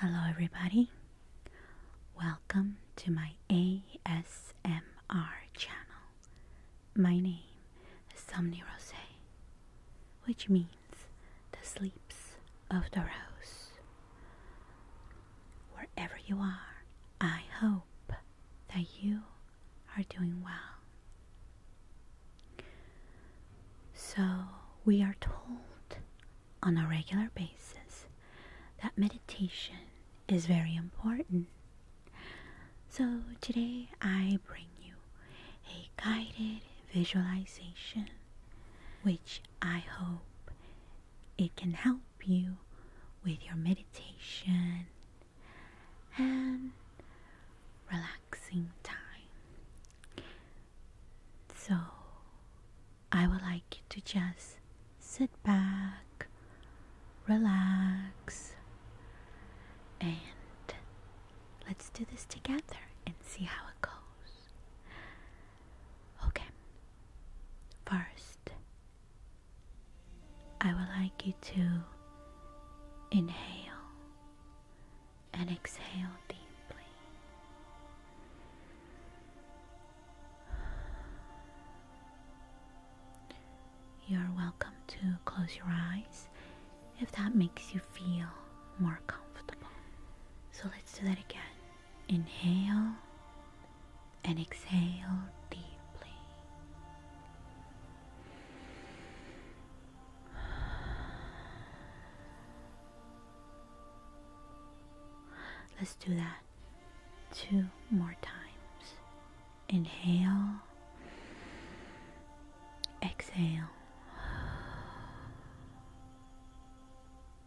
Hello, everybody. Welcome to my ASMR channel. My name is Somni Rose, which means the sleeps of the rose. Wherever you are, I hope that you are doing well. So, we are told on a regular basis that meditation is very important. So, today I bring you a guided visualization which I hope it can help you with your meditation and relaxing time. So I would like you to just sit back, relax, and let's do this together and see how it goes. Okay, first, I would like you to inhale and exhale deeply. You're welcome to close your eyes if that makes you feel more comfortable. So let's do that again. Inhale and exhale deeply. Let's do that two more times. Inhale, exhale,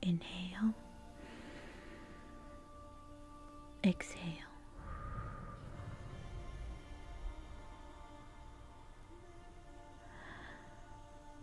inhale, exhale.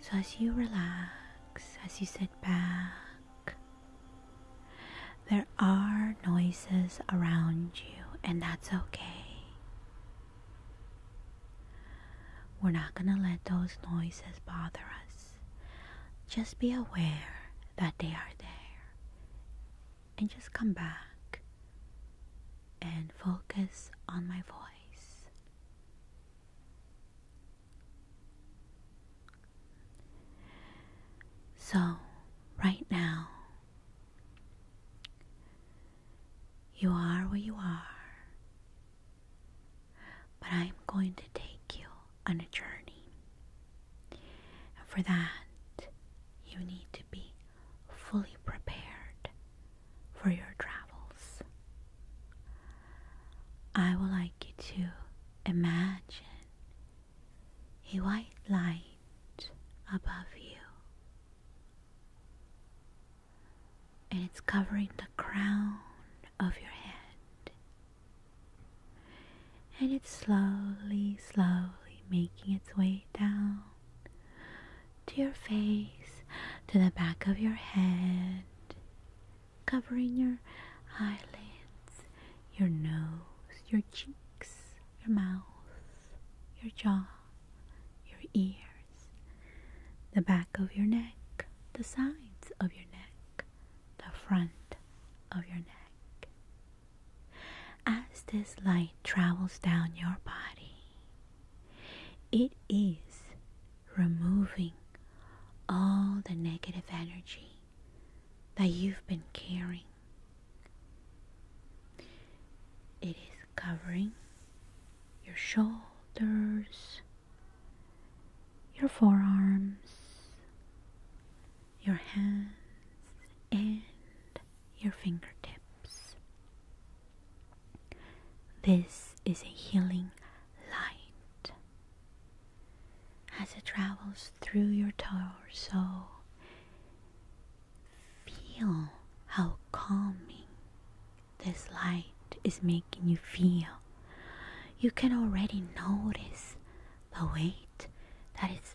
So, as you relax, as you sit back, there are noises around you, and that's okay. We're not going to let those noises bother us. Just be aware that they are there and just come back and focus on my voice. So, right now, you are where you are, but I'm going to take you on a journey. And for that, you need to be fully prepared for your travels. I would like you to imagine a white light above you, and it's covering the crown of your head, and it's slowly, slowly making its way down to your face, to the back of your head, covering your eyelids, your nose, your cheeks, your mouth, your jaw, your ears, the back of your neck, the sides of your neck, the front of your neck. As this light travels down your body, it is removing all the negative energy that you've been carrying. It is covering your shoulders, your forearms, your hands, and your fingertips. This is a healing light. As it travels through your torso, feel how calming this light is making you feel. You can already notice the weight that is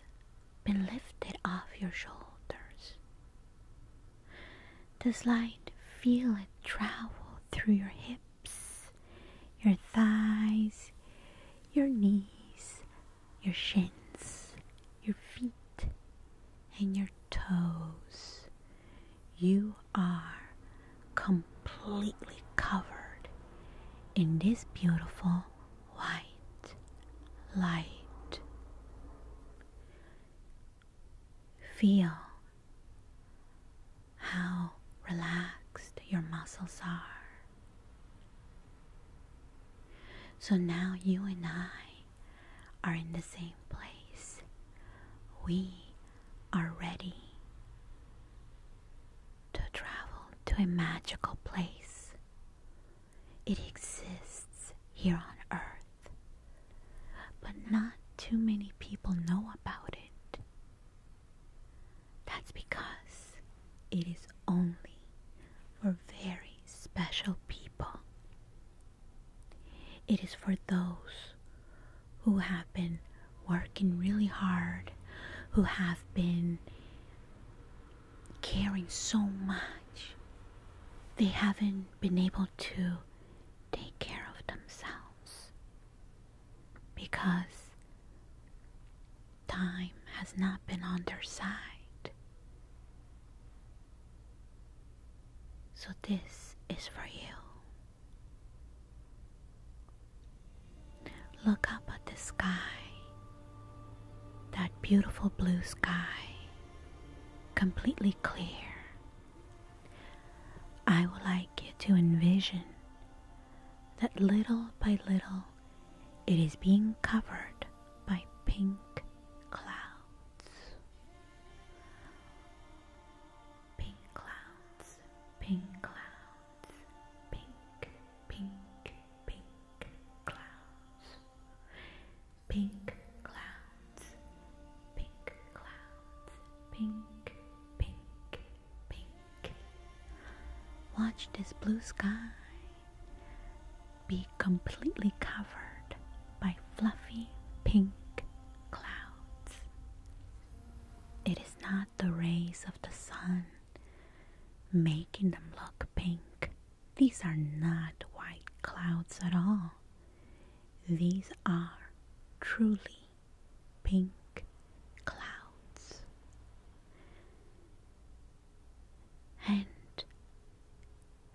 been lifted off your shoulders. Does light feel it travel through your hips, your thighs, your knees, your shins, your feet, and your toes? You are completely covered in this beautiful white light. Feel how relaxed your muscles are. So now you and I are in the same place. We are ready to travel to a magical place it exists here on Earth, but not too many people know about it. That's because it is only for very special people. It is for those who have been working really hard, who have been caring so much, they haven't been able to take care of themselves because time has not been on their side. So, this is for you. Look up at the sky that beautiful blue sky, completely clear. I would like you to envision that little by little it is being covered by pink clouds. Pink clouds, pink clouds, pink, pink, pink clouds, pink clouds, pink clouds, pink, pink, pink. Watch this blue sky be completely covered by fluffy pink clouds. It is not the rays of the sun making them look pink. These are not white clouds at all. These are truly pink clouds. And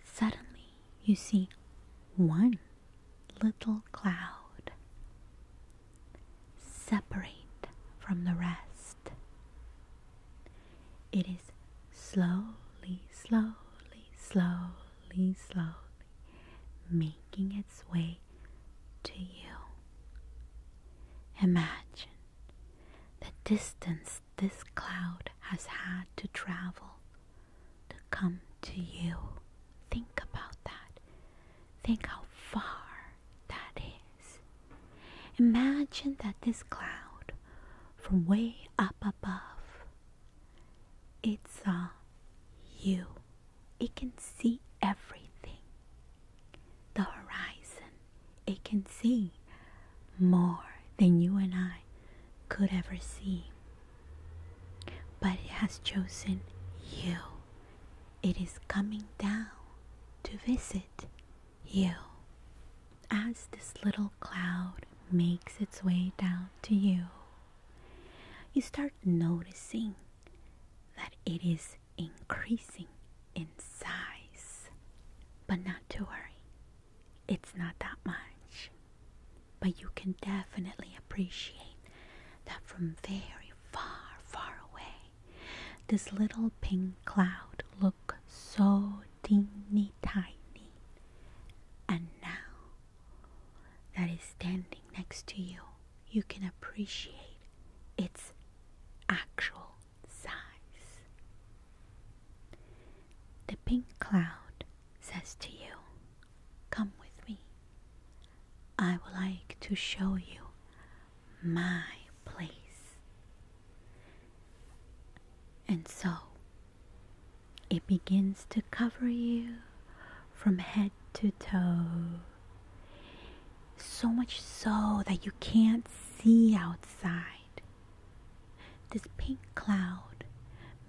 suddenly you see one little cloud separate from the rest. It is slowly, slowly, slowly, slowly making its way to you. Imagine the distance this cloud has had to travel to come to you. Think about that. Think how far that is. Imagine that this cloud from way up above it saw uh, you. It can see everything. The horizon. It can see more than you and I could ever see. But it has chosen you. It is coming down to visit you. As this little cloud makes its way down to you, you start noticing that it is increasing in size. But not to worry, it's not that much. But you can definitely appreciate that from very far, far away, this little pink cloud looked so teeny tiny. And now that is standing next to you, you can appreciate its actual size. The pink cloud says to you, Come with me. I would like to show you my place. And so it begins to cover you from head to toe. So much so that you can't see outside. This pink cloud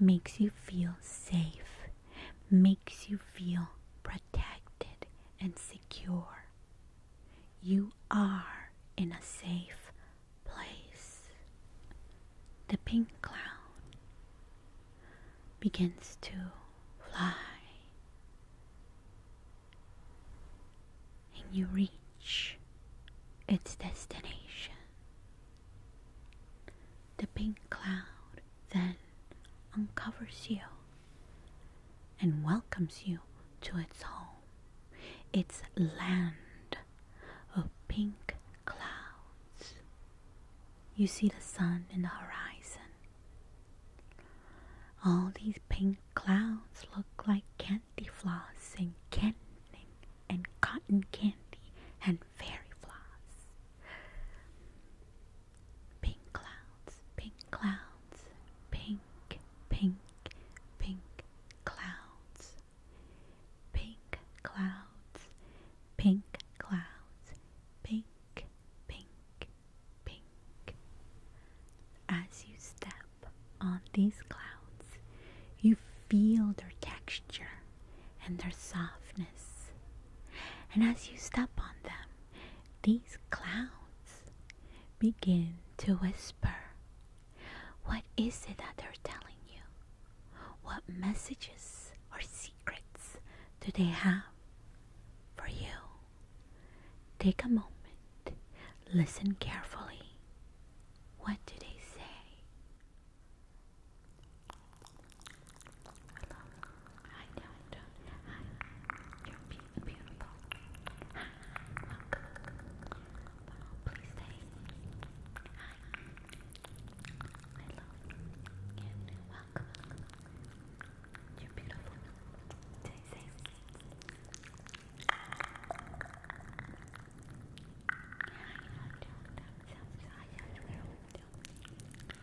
makes you feel safe, makes you feel protected and secure. You are in a safe place. The pink cloud begins to fly, and you reach its destination. The pink cloud then uncovers you and welcomes you to its home, its land of pink clouds. You see the sun in the horizon. All these pink clouds look like candy floss and canning and cotton candy and fairy floss. Pink clouds, pink clouds, pink, pink, pink clouds. Pink clouds, pink clouds, pink, pink, pink. As you step on these clouds, you feel their texture and their softness. And as you step on them, these clouds begin to whisper. What is it that they're telling you? What messages or secrets do they have for you? Take a moment, listen carefully. What do they say? Hi, Dad. Hi. You're beautiful. Hi. Welcome. Please stay. Hi. Hello. welcome. You're beautiful. Stay safe. Hi, Dad. Hi, Dad.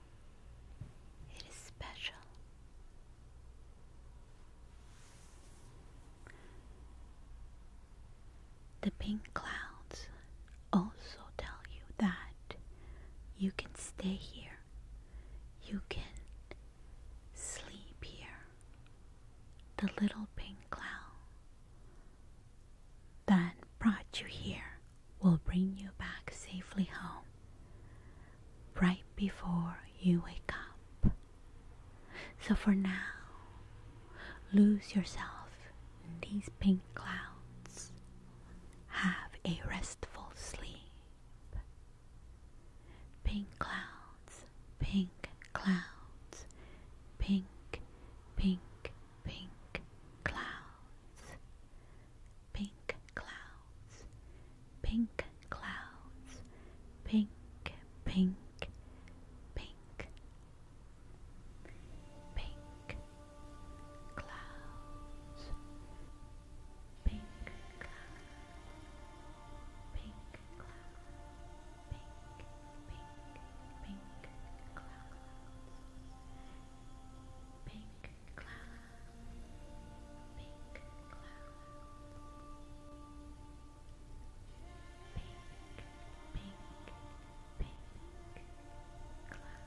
It is special. The pink clouds also tell you that you can stay here, you can sleep here. The little pink cloud that brought you here will bring you back safely home right before you wake up. So for now, lose yourself in these pink clouds. Have a restful sleep. Pink clouds, pink clouds, pink, pink, pink clouds pink clouds, pink clouds, pink, pink, pink, pink clouds, pink clouds, pink clouds, pink, pink, pink clouds, pink cloud, pink cloud, pink, pink, pink cloud.